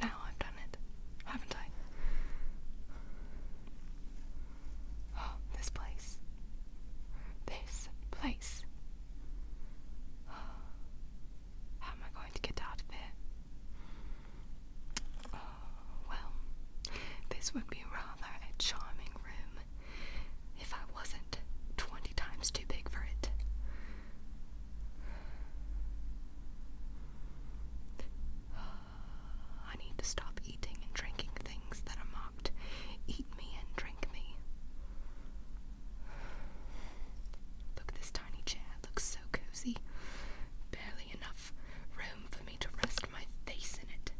Now I've done it, haven't I? Oh, this place. This place. How am I going to get out of here? Oh, well, this would be rather a charming room if I wasn't 20 times too big for it. I need to stop eating and drinking things that are marked Eat Me and Drink Me. Look, this tiny chair looks so cozy. Barely enough room for me to rest my face in it.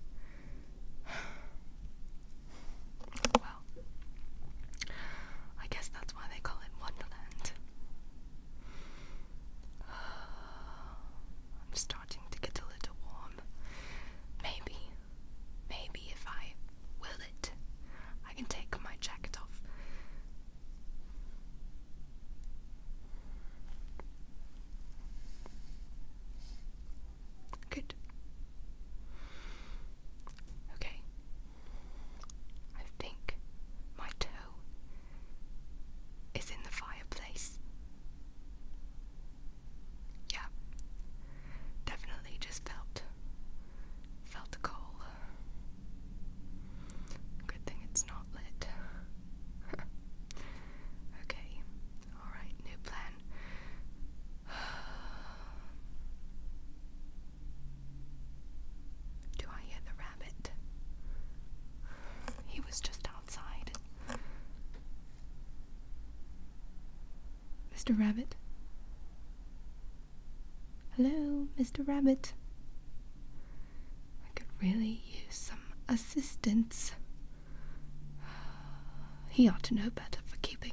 Well, I guess that's why they call it Wonderland. I'm starting to get a little warm. Maybe, maybe if I will it, I can take my jacket off. Good. Okay. I think my toe is in the fireplace. Yeah. Definitely just felt felt coal Good thing it's not lit. okay, alright, new plan. Do I hear the rabbit? He was just outside. Mr. Rabbit? Hello, Mr. Rabbit. I could really use some assistance. He ought to know better for keeping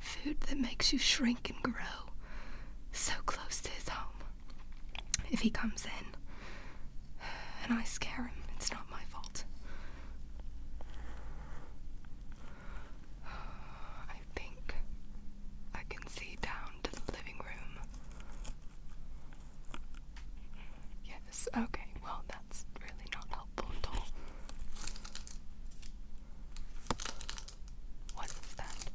food that makes you shrink and grow so close to his home. If he comes in and I scare him, it's not my fault. I think I can see down to the living room. Yes, okay, well, that's really not helpful at all. What is that?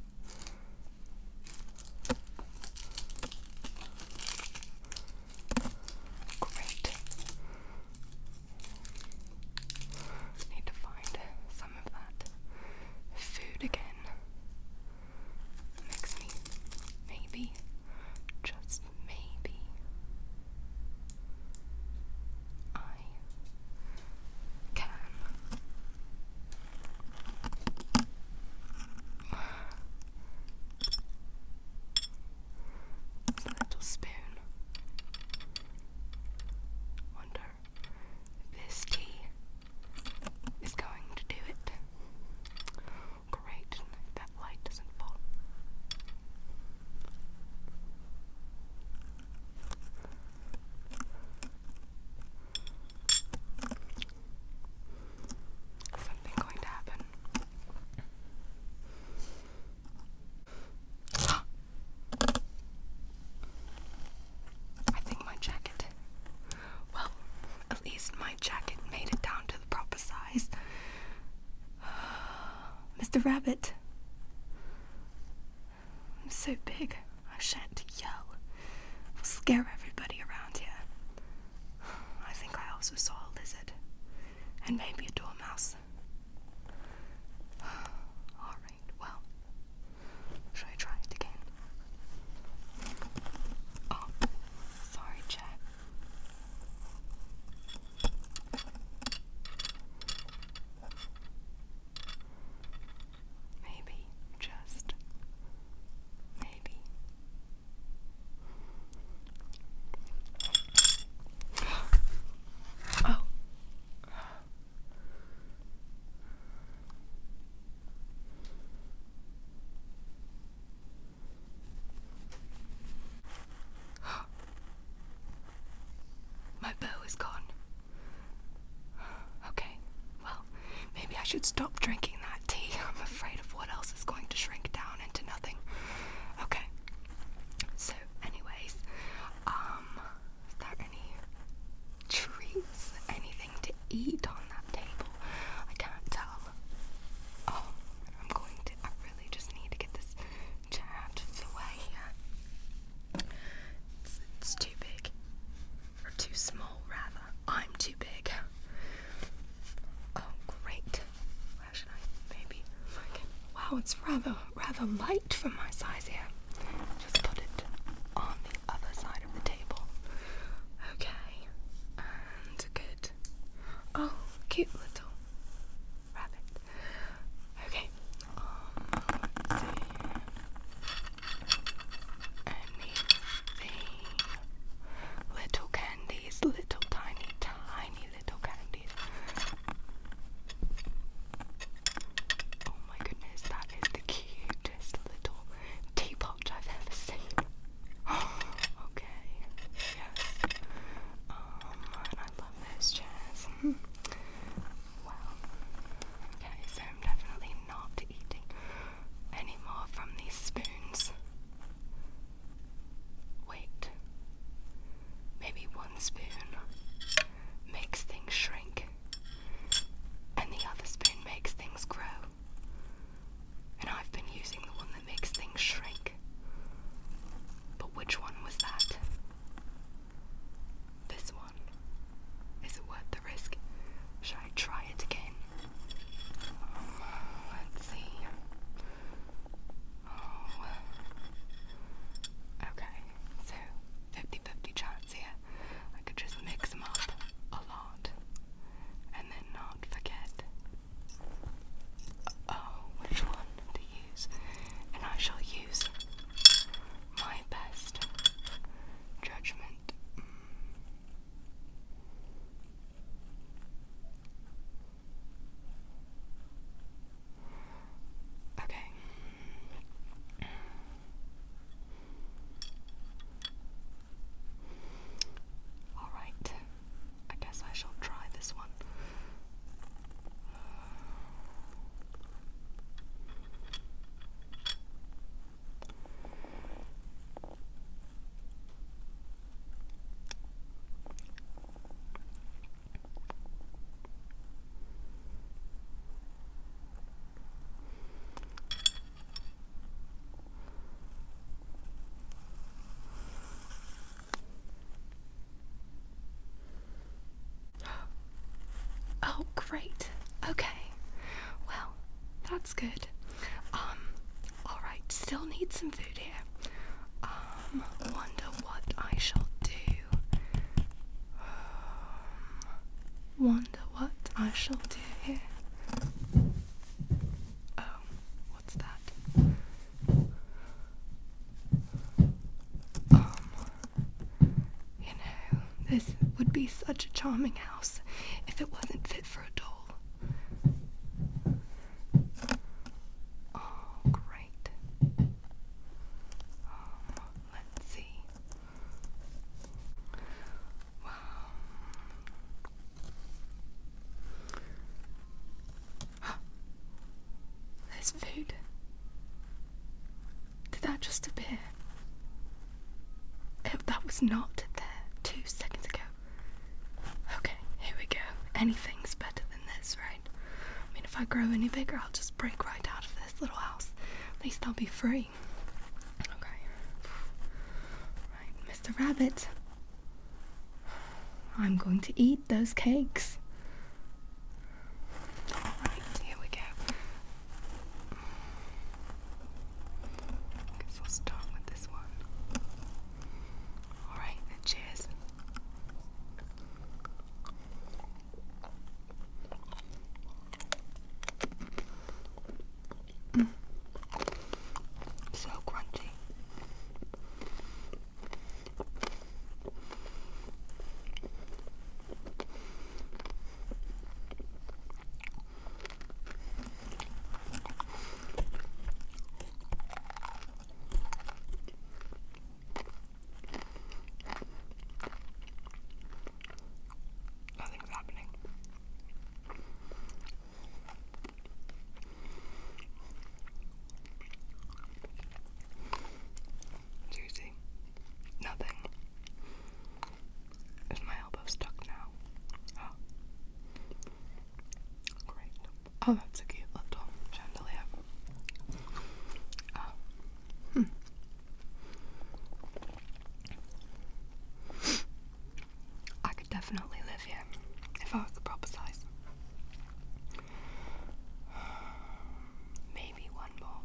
Great. Need to find some of that food again. maybe, just maybe, I can little spoon. One this tea is going to do it. Great, that light doesn't fall. Something going to happen. I think my jacket. Well, at least my jacket made it down to the proper size. Mr. Rabbit. I'm so big, I shan't yell. I'll scare everybody around here. I think I also saw a lizard. And maybe a dormouse. Alright well, should I try it again? Oh, sorry, chat. Maybe, just maybe. Oh, My bow is gone. Okay, well, maybe I should stop drinking that tea. I'm afraid of what else is going to shrink down into nothing. Okay. So, anyways, um, is there any treats? Anything to eat on that table? I can't tell. Oh, I'm going to. I really just need to get this chair out of the way It's, too big. Or too small, rather. I'm too big. Oh, great. Where should I? Maybe. Wow, it's rather rather light for my size here. Just put it on the other side of the table. Okay, and good. Oh, cute little rabbit. Okay, um, let's see. Anything. Little candies, little tiny, tiny little candies. Oh my goodness, that is the cutest little teapot I've ever seen. okay, yes. Um, and I love those chairs. well, okay, so I'm definitely not eating any more from these spoons. Wait maybe one spoon makes things shrink, and the other spoon makes things grow. And I've been using the one that makes things shrink. But which one was that? This one. Is it worth the risk? Should I try it again? Oh, let's see. Oh. Okay, so 50 50 chance here. I could just mix them up a lot and then not forget oh, which one to use. And I shall use my best judgment. Okay. Alright. I guess I shall try this one. Oh, great. Okay. Well, that's good. Um, alright, still need some food here. Um, ponder what I shall do. Um, wonder what I shall do here. Oh, what's that? Um, you know, this would be such a charming house if it wasn't fit for a doll. Oh, great. Um, let's see. Wow. there's food. Did that just appear? It, that was not there two seconds ago. Okay, here we go. Anything's better than this, right? I mean, if I grow any bigger, I'll just break right out of this little house. At least I'll be free. Okay. Right, Mr. Rabbit. I'm going to eat those cakes. Alright, here we go. I guess I'll start with this one. Alright, cheers. Mm. So crunchy. Nothing's happening. Seriously, nothing. Is my elbow stuck now? Oh. Great. Oh, that's a cute little chandelier. Oh, Hmm. I could definitely live here if I was the proper size. Maybe one more.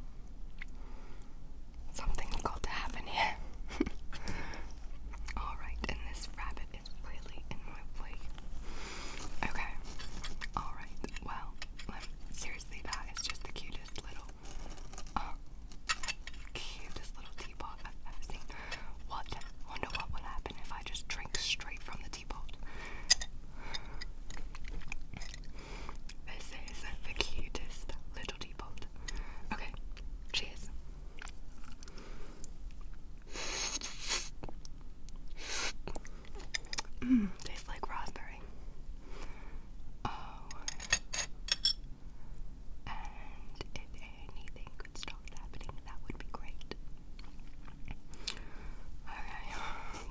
Something's got to happen here. Alright, and this rabbit is really in my way. Okay. Alright, well, let, seriously, just the cutest little, uh, cutest little teapot I've ever seen. What? Wonder what would happen if I just drink straight from the teapot. This is the cutest little teapot. Okay, cheers. Mmm, tastes like raspberry. Oh. And if anything could stop happening, that would be great. Okay,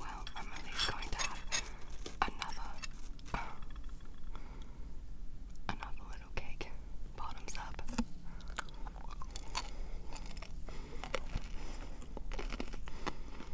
well, I'm at least going to have another, another little cake. Bottoms up.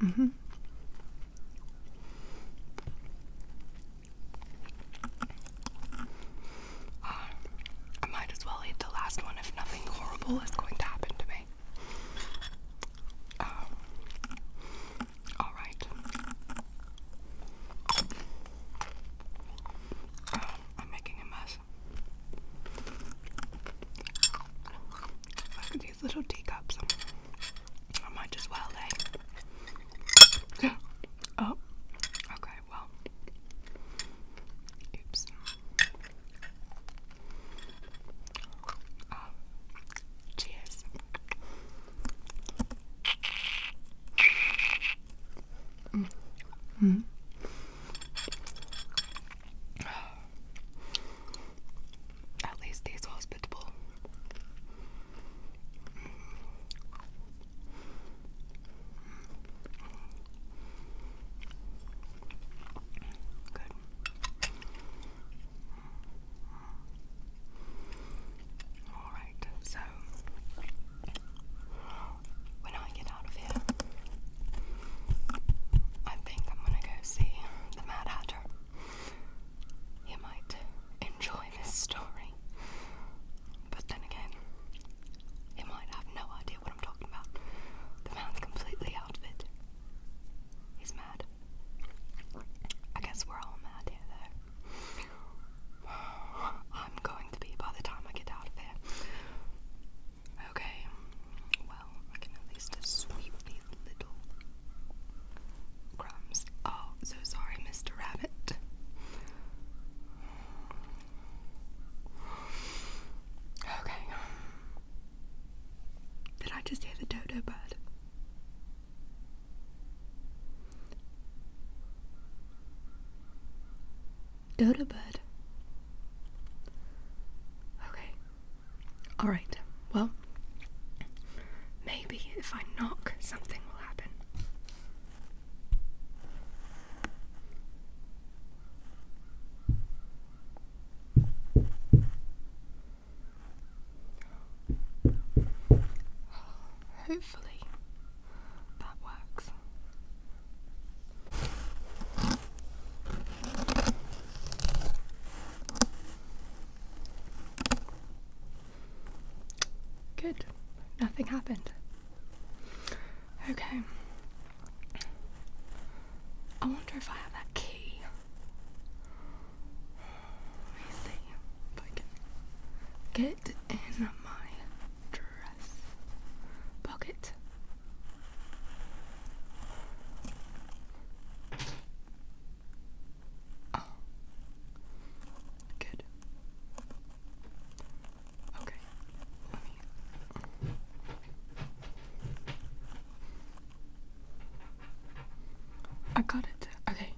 Mm -hmm. I might as well eat the last one if nothing horrible is going to happen to me. Um, all right. Um, I'm making a mess these little teacups. I might as well, Oh, okay, well. Oops. Oh, cheers. Mm. mm. At least he's hospitable. Good. All right, so when I get out of here, I think I'm gonna go see the Mad Hatter you might enjoy this story, but then again, you might have no idea what I'm talking about. The man's completely out of it. He's mad. I guess we're all mad here, though. I'm going to be by the time I get out of here. Okay, I can at least sweep these little crumbs. Oh, so sorry, Mr. Rabbit. Okay. Did I just hear the dodo bird? Dodo bird. Okay. Alright, well, maybe if I knock, something will happen. Hopefully that works. Good. Nothing happened. Okay. I wonder if I have that key. Let me see if I can get in my dress pocket. Oh. Good. Okay. Let me. I got it. Okay.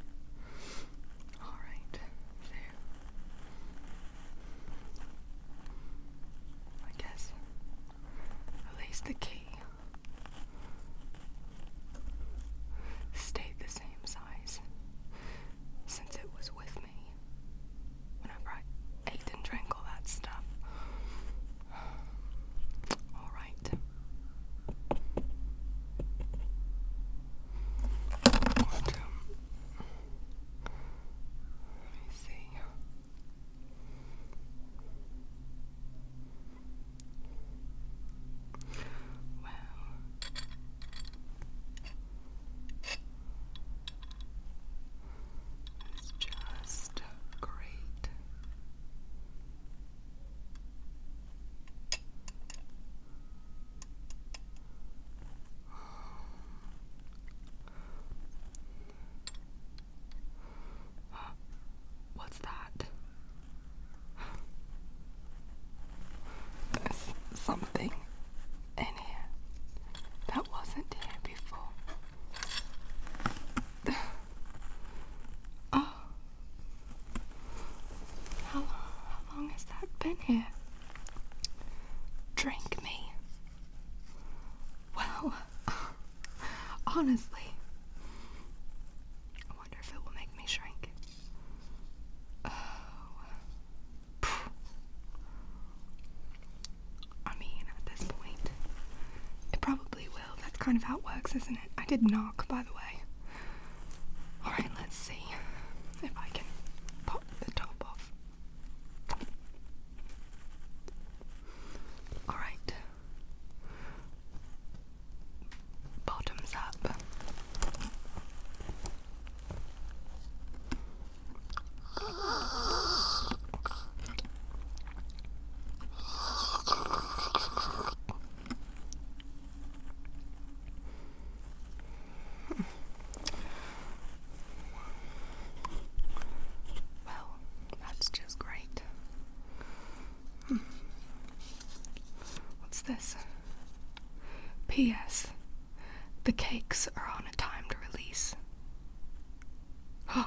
All right. There. I guess. At the key stayed the same size since it was with me whenever I ate and drank all that stuff. Alright. Let me see. Well, it's just great. What's that? There's something in here that wasn't here before. Oh. How how long has that been here? Drink me. Wow, Honestly. I wonder if it will make me shrink. Oh. I mean, at this point, it probably will. That's kind of how it works, isn't it? I did knock, by the way. Alright, let's see if I can pop the top off. Alright bottoms up. Well, that's just great. What's this? P.S. The cakes are on a timed release. Huh.